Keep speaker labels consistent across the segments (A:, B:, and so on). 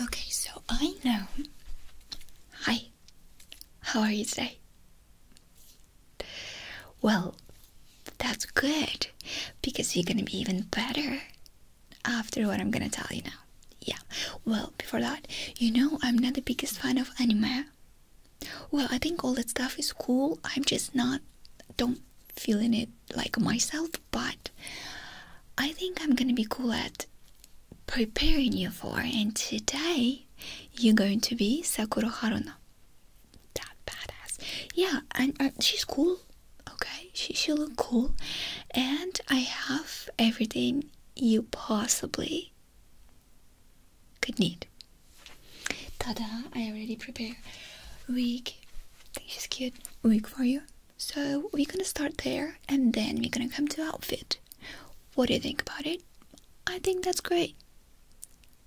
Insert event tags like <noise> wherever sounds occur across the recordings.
A: Okay, so I know. Hi, how are you today? Well, that's good because you're gonna be even better after what I'm gonna tell you now. Yeah, well, before that, you know, I'm not the biggest fan of anime. Well, I think all that stuff is cool, I'm just not, don't feeling it like myself, but I think I'm gonna be cool at preparing you for, and today you're going to be Sakura Haruno. That badass. Yeah, and she's cool. Okay, she she look cool, and I have everything you possibly could need. Tada! I already prepared Week. I think she's cute. Week for you. So we're gonna start there and then we're gonna come to outfit. What do you think about it? I think that's great.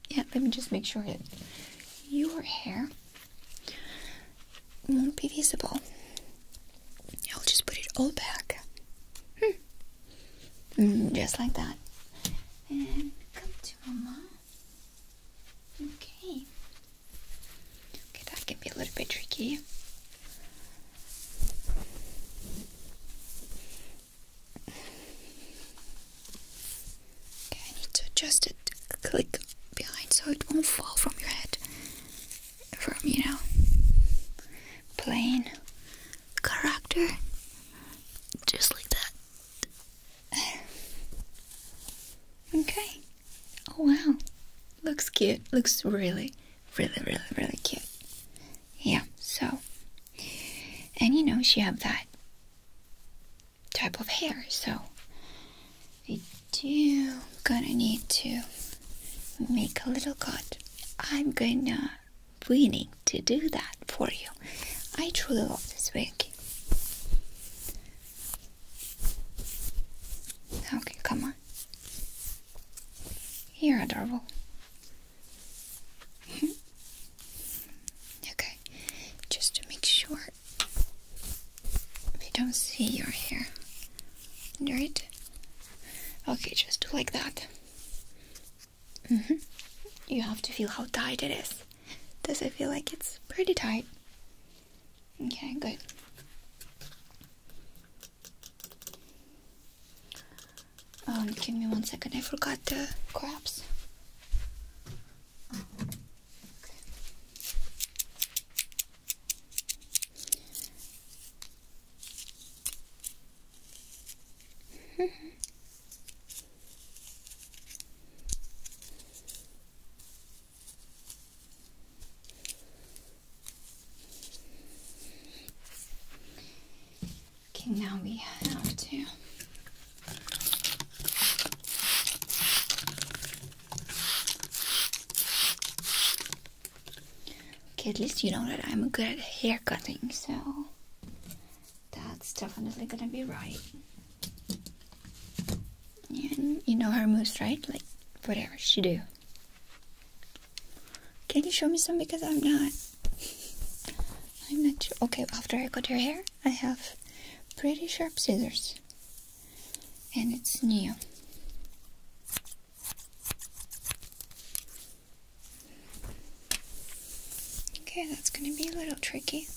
A: Yeah, let me just make sure that your hair won't be visible. I'll just put it all back. Hmm. Mm, just like that. And come to mama. Okay. Okay, that can be a little bit tricky. Okay, I need to adjust it click behind so it won't fall from your head. From, you know, plain character. Just like that. Okay. Oh wow. Looks cute. Looks really Really, really, really cute. Yeah, so. And you know, she have that type of hair, so. I do gonna need to make a little cut. I'm gonna willing to do that for you. I truly love this wig. Okay, come on. You're adorable. <laughs> okay, just to make sure they don't see your hair. Right? Okay, just like that. Mm-hmm. You have to feel how tight it is. Does it feel like it's pretty tight? Okay, good. Um, give me one second. I forgot the crabs. Okay, now we have to Okay, at least you know that I'm good at hair cutting, so that's definitely gonna be right. And you know her moves, right? Like whatever she do. Can you show me some? Because I'm not. <laughs> I'm not Okay, after I cut your hair, I have pretty sharp scissors. And it's new. Okay, that's gonna be a little tricky.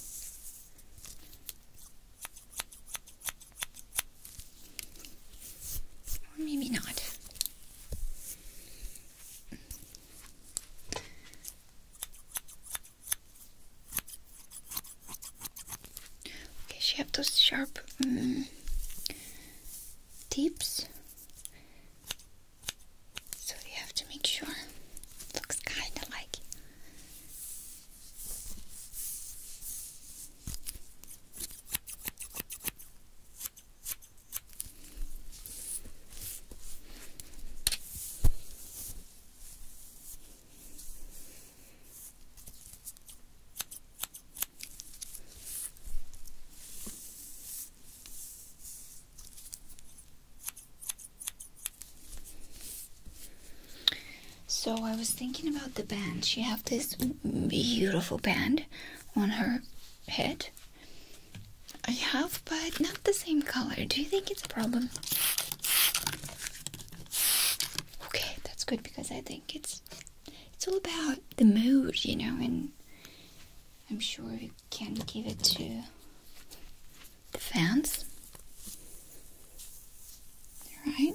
A: Or maybe not. Okay, she have those sharp um, tips, so you have to make sure looks kind of like. So I was thinking about the band. You have this beautiful band on her head. I have, but not the same color. Do you think it's a problem? Okay, that's good because I think it's it's all about the mood, you know, and I'm sure we can give it to the fans. All right.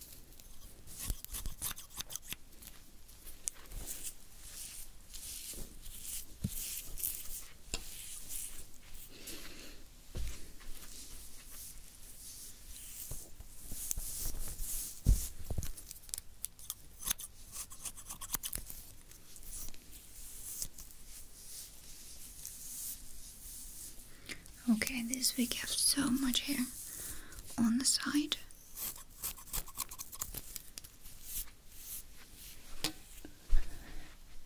A: Okay, this wig has so much hair on the side.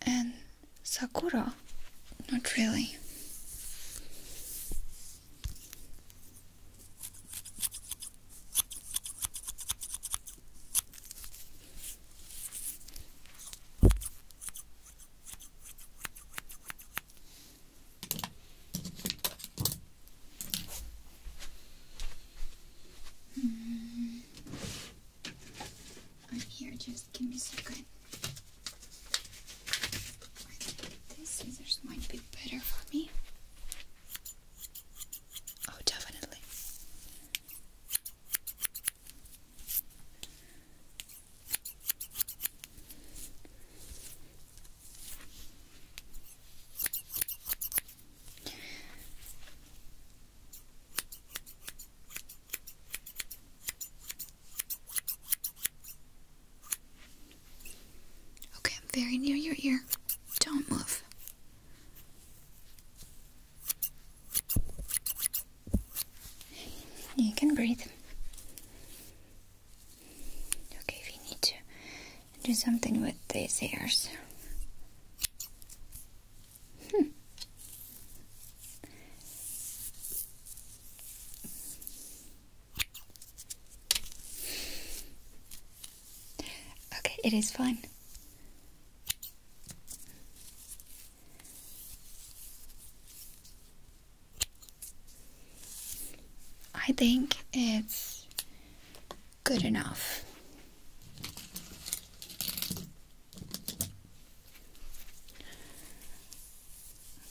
A: And Sakura? Not really. I'm hmm. here, just give me a second. these scissors might be better for me. Oh, definitely. Okay, I'm very near your ear. Don't move. You can breathe. Okay, if you need to do something with these ears. Hmm. Okay, it is fine. I think it's good enough.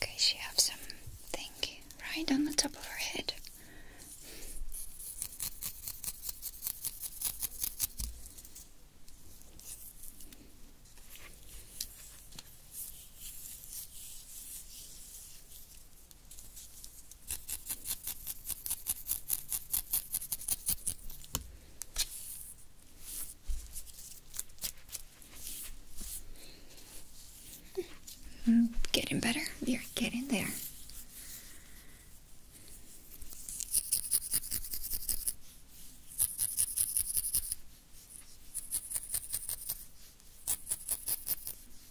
A: Okay, she has something right on the top of her head. Getting better. You're getting there.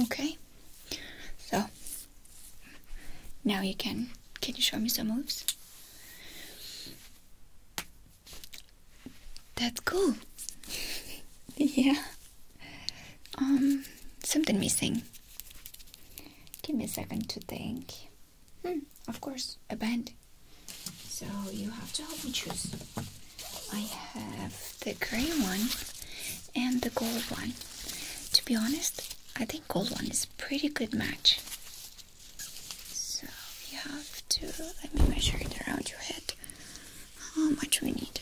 A: Okay, so now you can. Can you show me some moves? That's cool. <laughs> yeah. Um, something missing. Give me a second to think. Hmm, of course, a band. So you have to help me choose. I have the gray one and the gold one. To be honest, I think gold one is a pretty good match. So we have to, let me measure it around your head. How much we need?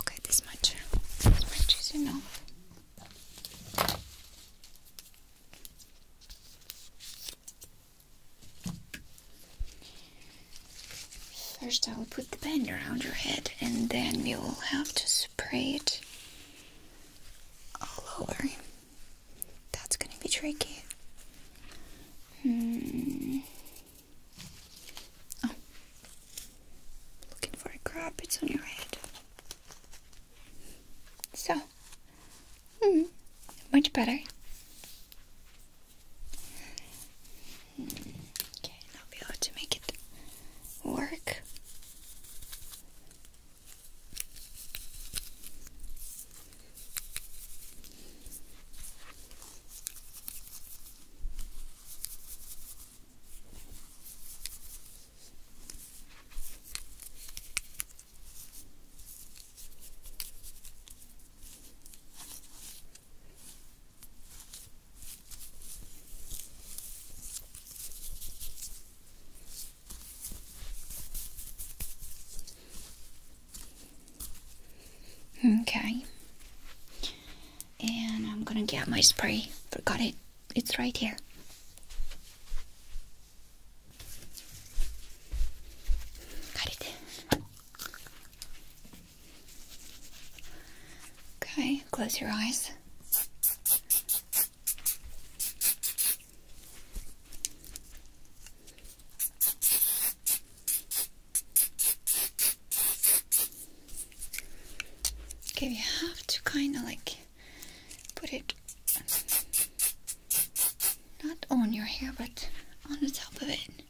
A: Okay, this much. This much is enough. First, I'll put the band around your head, and then you will have to spray it all over. That's gonna be tricky. Hmm. Oh, looking for a crab. It's on your head. So, hmm, much better. Okay, I'll be have to make it work. Okay. And I'm gonna get my spray. Forgot it. It's right here. Got it. Okay, close your eyes. Okay, you have to kind of like put it not on your hair but on the top of it.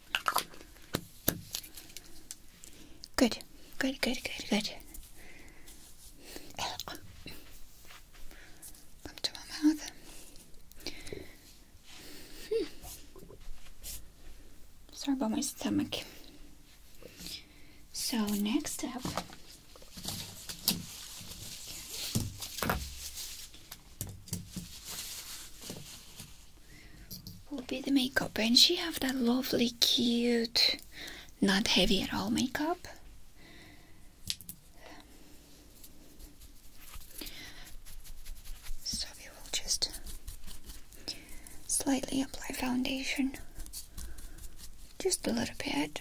A: Good, good, good, good, good. Come to my mouth. Hmm. Sorry about my stomach. So next up will be the makeup and she have that lovely cute not heavy at all makeup so we will just slightly apply foundation just a little bit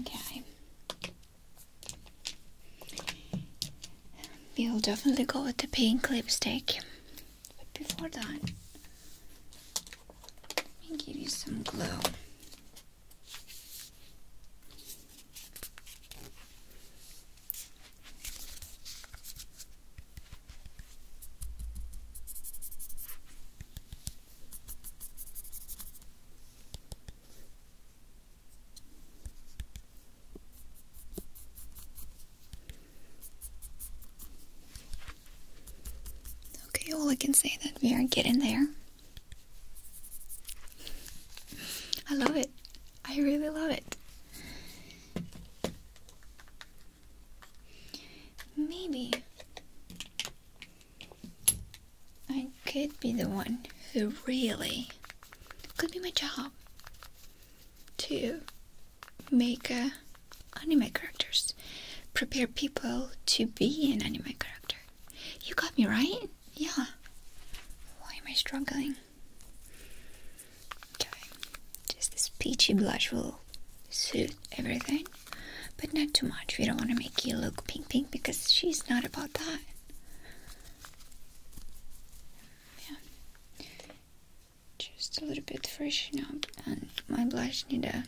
A: Okay. We'll definitely go with the pink lipstick. But before that, let me give you some glue. Okay, all well, I can say that we are getting there. I love it. I really love it. Maybe I could be the one who really could be my job to make uh, anime characters, prepare people to be an anime character. You got me right? Yeah. Why am I struggling? just this peachy blush will suit everything but not too much. We don't want to make you look pink pink because she's not about that. Yeah. Just a little bit freshening up and my blush needs a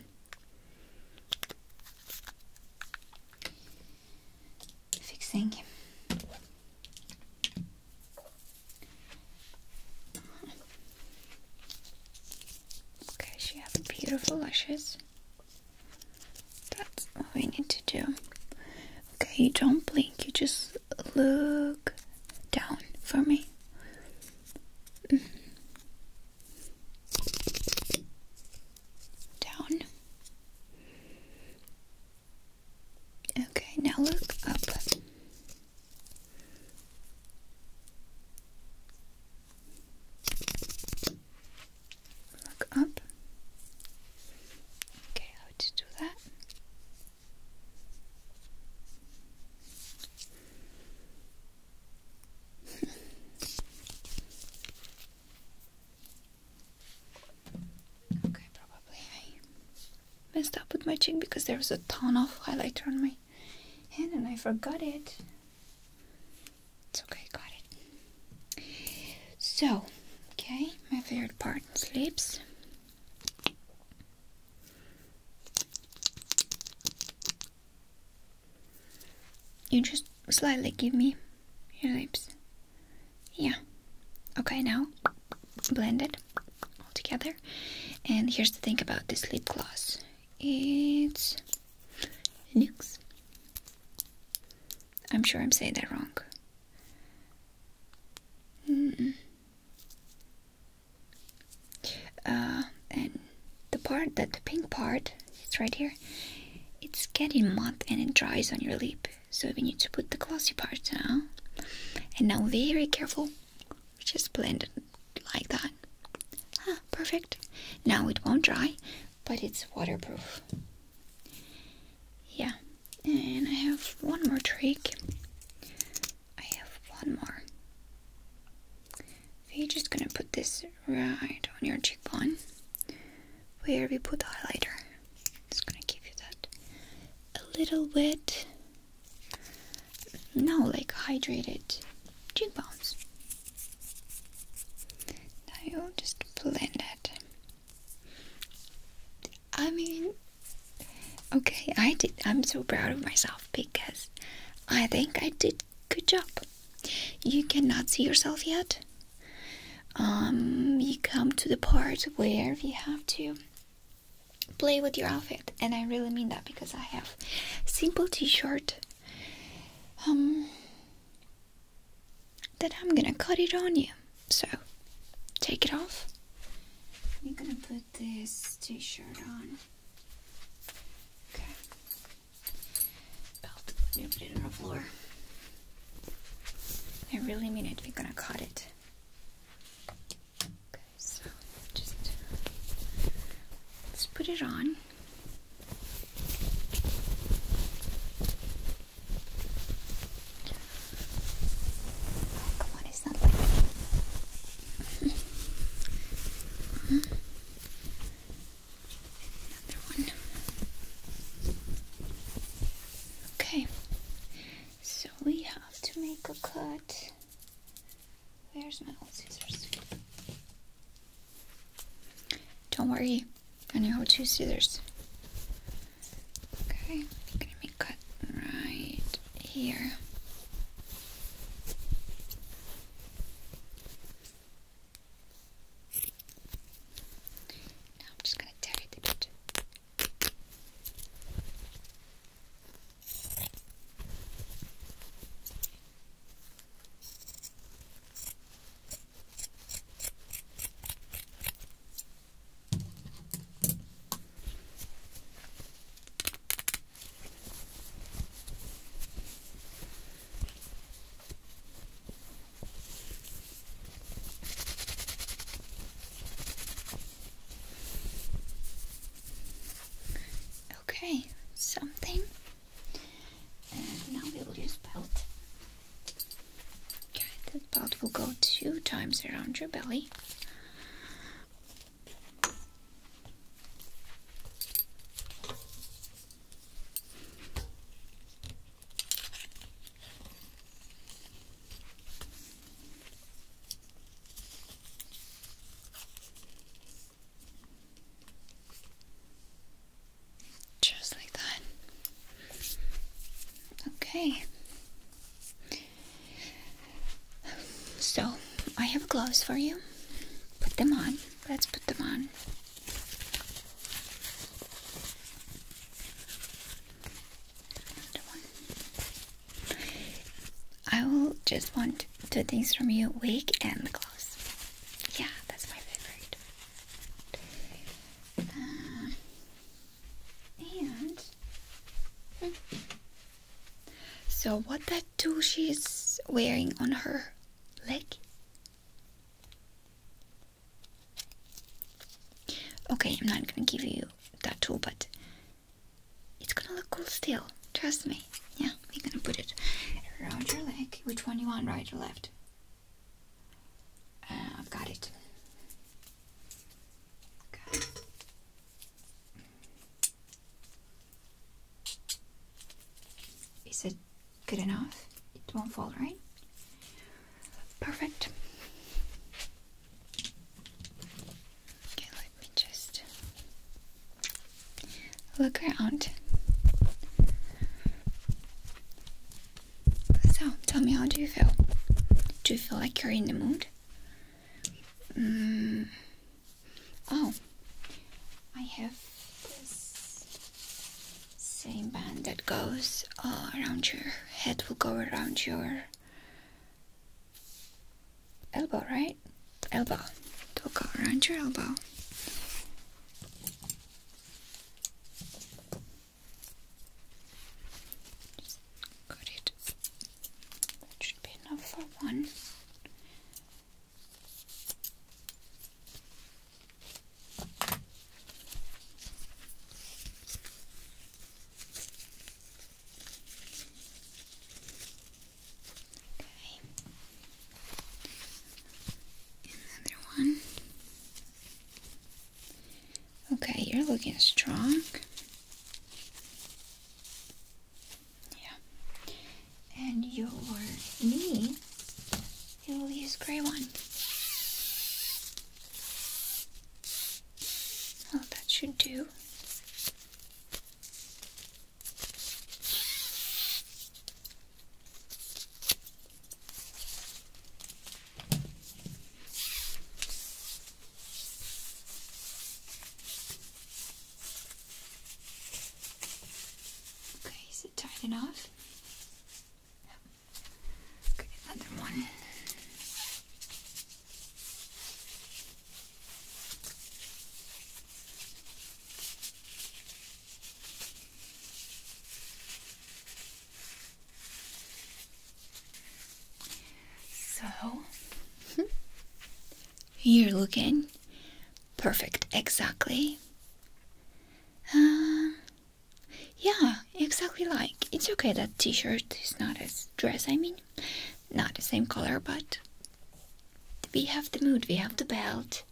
A: fixing. Okay, she has beautiful lashes. That's what we need to do. Okay, you don't blink, you just look down for me. Down. Okay, now look up look up. Okay, how to do that? <laughs> okay, probably I messed up with my cheek because there was a ton of highlighter on my hand and I forgot it. It's okay, got it. So, okay, my favorite part sleeps. You just slightly give me your lips. Yeah. Okay, now blended, all together. And here's the thing about this lip gloss. It's nukes. I'm sure I'm saying that wrong. Uh, and the part that the pink part, it's right here, it's getting matte and it dries on your lip. So we need to put the glossy part now. And now very careful, just blend it like that. Ah, perfect. Now it won't dry, but it's waterproof. Yeah, and I have one more trick. I have one more. you are just gonna put this right on your cheekbone where we put the highlighter. Just gonna give you that a little bit. Now, like hydrated cheekbones. Now you just blend it. I mean, okay, I did. I'm so proud of myself because I think I did good job. You cannot see yourself yet. Um, you come to the part where we have to play with your outfit, and I really mean that because I have simple T-shirt. Um, then I'm gonna cut it on you. So, take it off. You're gonna put this t shirt on. Okay. Belt, let put it on the floor. I really mean it, we're gonna cut it. Okay, so just let's put it on. Okay, so we have to make a cut. Where's my old scissors? Don't worry, I know how to scissors. Okay, I'm gonna make cut right here. Now I'm just gonna tear it Okay, something and now we will use belt. Okay, that belt will go two times around your belly. Just like that. Okay. So, I have gloves for you. Put them on. Let's put them on. I will just want two things from you wig and the gloves. Yeah, that's my favorite and so, what that tool she's wearing on her leg? Okay, I'm not gonna give you that tool, but it's gonna look cool still. Trust me. Yeah, we're gonna put it around your leg. Which one you want, right or left? Uh, I've got it. it good enough? It won't fall, right? Perfect. Okay, let me just look around. So, tell me, how do you feel? Do you feel like you're in the mood? Mm. Oh, I have this same band that goes uh, around your head, will go around your elbow, right? Elbow. It will go around your elbow. Just it. That should be enough for one. Okay. Another one. Okay, you're looking strong. Yeah. And your knee, you will use gray one. Well, oh, that should do. Okay, is it tight enough? Okay, another one. So, you're looking perfect, exactly. Uh, yeah, exactly like. It's okay that t shirt is not as dress, I mean, not the same color, but we have the mood, we have the belt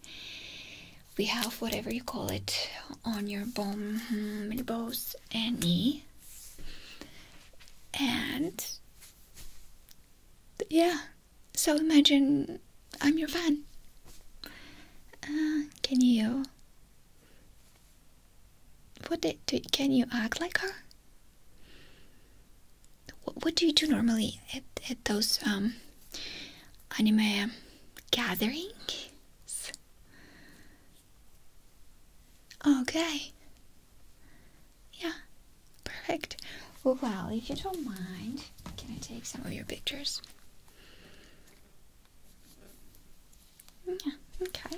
A: we have whatever you call it on your bum, elbows, hmm, and knee, and yeah. So imagine I'm your fan. Uh, can you? What did, can you act like her? What, do you do normally at, at those um, anime gatherings? Okay. Yeah, perfect. Well, if you don't mind, can I take some of your pictures? Yeah, okay.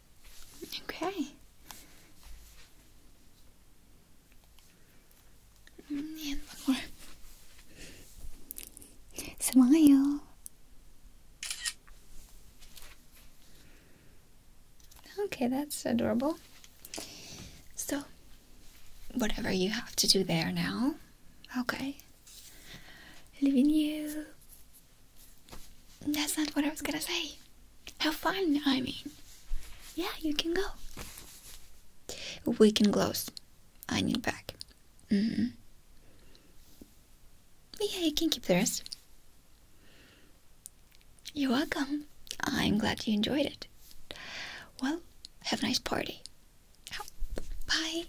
A: Okay. one more. Smile. Okay, that's adorable. So, whatever you have to do there now, okay. Leaving you that's not what I was gonna say. How fun, I mean. Yeah, you can go. We can close. I need back. Mm hmm. Yeah, you can keep the rest. You're welcome. I'm glad you enjoyed it. Well, have a nice party. Bye.